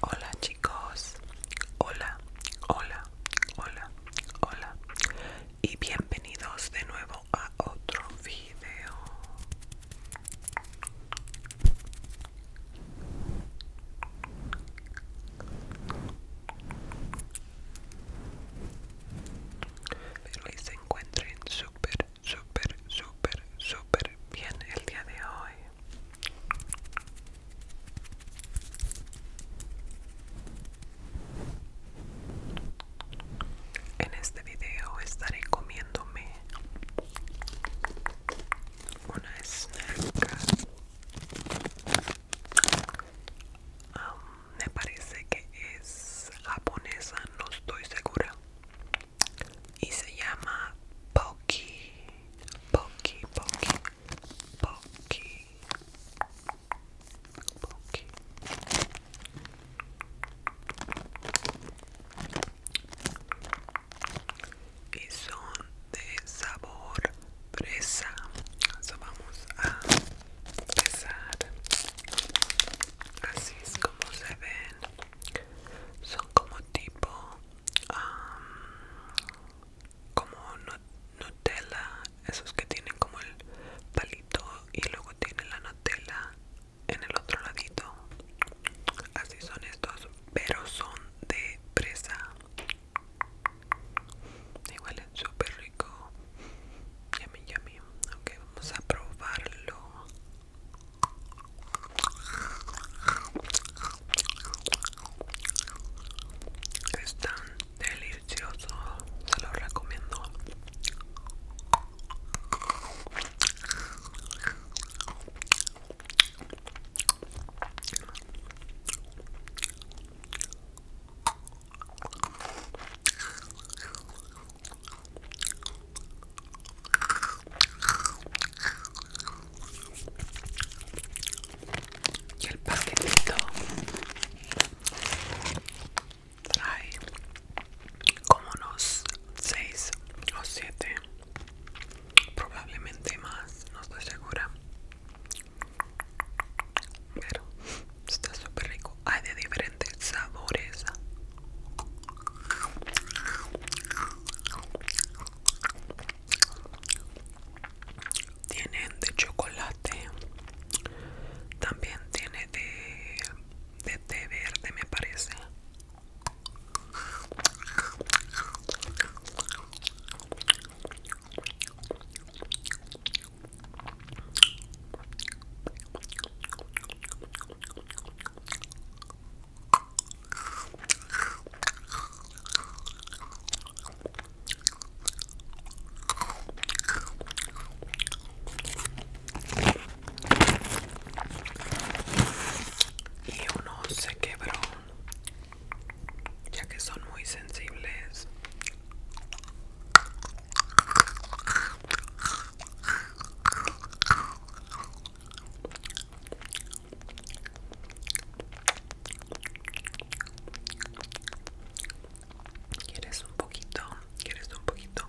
Hola chicos, hola, hola, hola, hola y bienvenidos de nuevo a otro video encuentren súper, súper, súper, súper bien el día de hoy. En este video estaré comiéndome una snack. Um, me parece que es japonesa, no estoy segura. Y se llama Poki, Poki, Poki, Poki, Poki. Y son de sabor fresa. vamos a pesar así es como se ven son como tipo como Nutella esos que tienen como el palito y luego tienen la Nutella en el otro ladito así son estos pero son de presa Igual es súper rico. Yummy, yummy. Ok, vamos a probarlo. Es tan delicioso. Se lo recomiendo. Y el paquetito trae como unos 6 o 7, probablemente más, no estoy segura. Pero está súper rico. Hay de diferentes sabores. Tienen de chocolate. También tiene de, de té verde, me parece y uno se quebró ya que son muy sensibles ¿Quieres un poquito? ¿Quieres un poquito?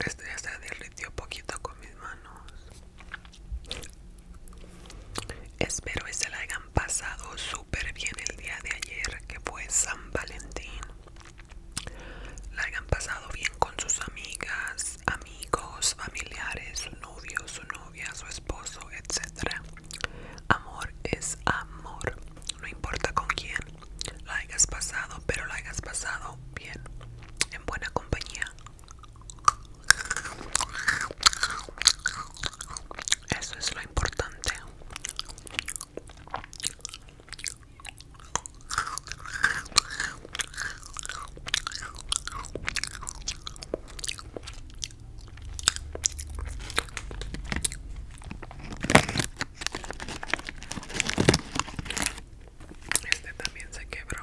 Esto ya se derritió poquito con mis manos. Espero que se la hayan pasado súper bien el día de ayer que fue San Valentín. La hayan pasado bien con sus amigas, amigos, familiares, su novio, su novia, su esposo, etc. Amor es amor, no importa con quién la hayas pasado, pero la hayas pasado bien, en buena compañía. Eso es lo importante. Este también se quebró.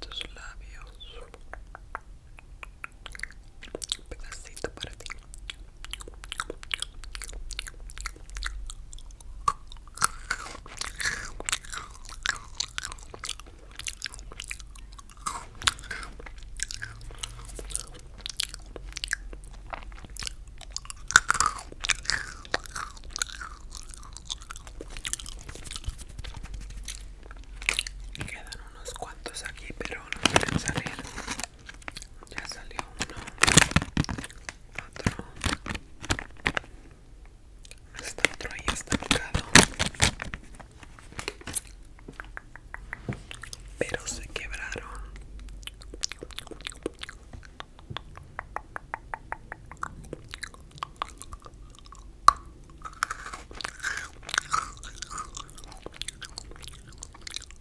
Tus labios, un pedacito para ti quedan unos cuantos aquí, pero no quieren salir. Ya salió uno otro está otro ahí está pegado pero se quebraron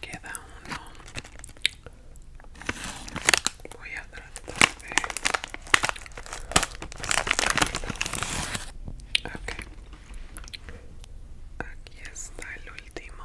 Queda uno. Voy a tratar de... Aquí está el último.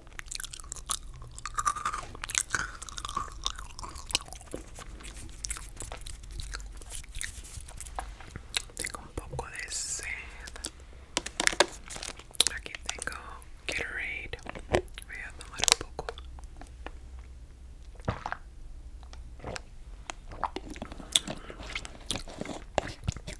Tengo un poco de sed. Aquí tengo Gatorade. Voy a tomar un poco.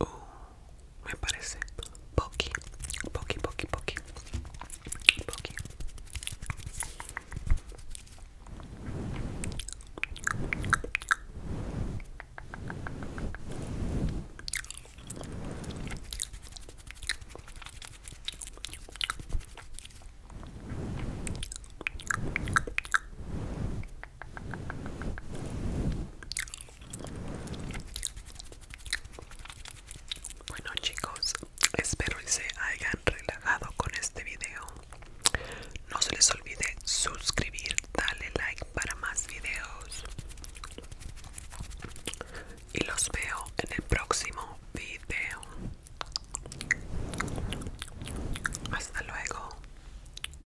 Uh, me parece poqui, poqui, poqui, poqui, poqui bueno chicos, espero que se hayan relajado con este video. No se les olvide suscribir, darle like para más videos. Y los veo en el próximo video. Hasta luego.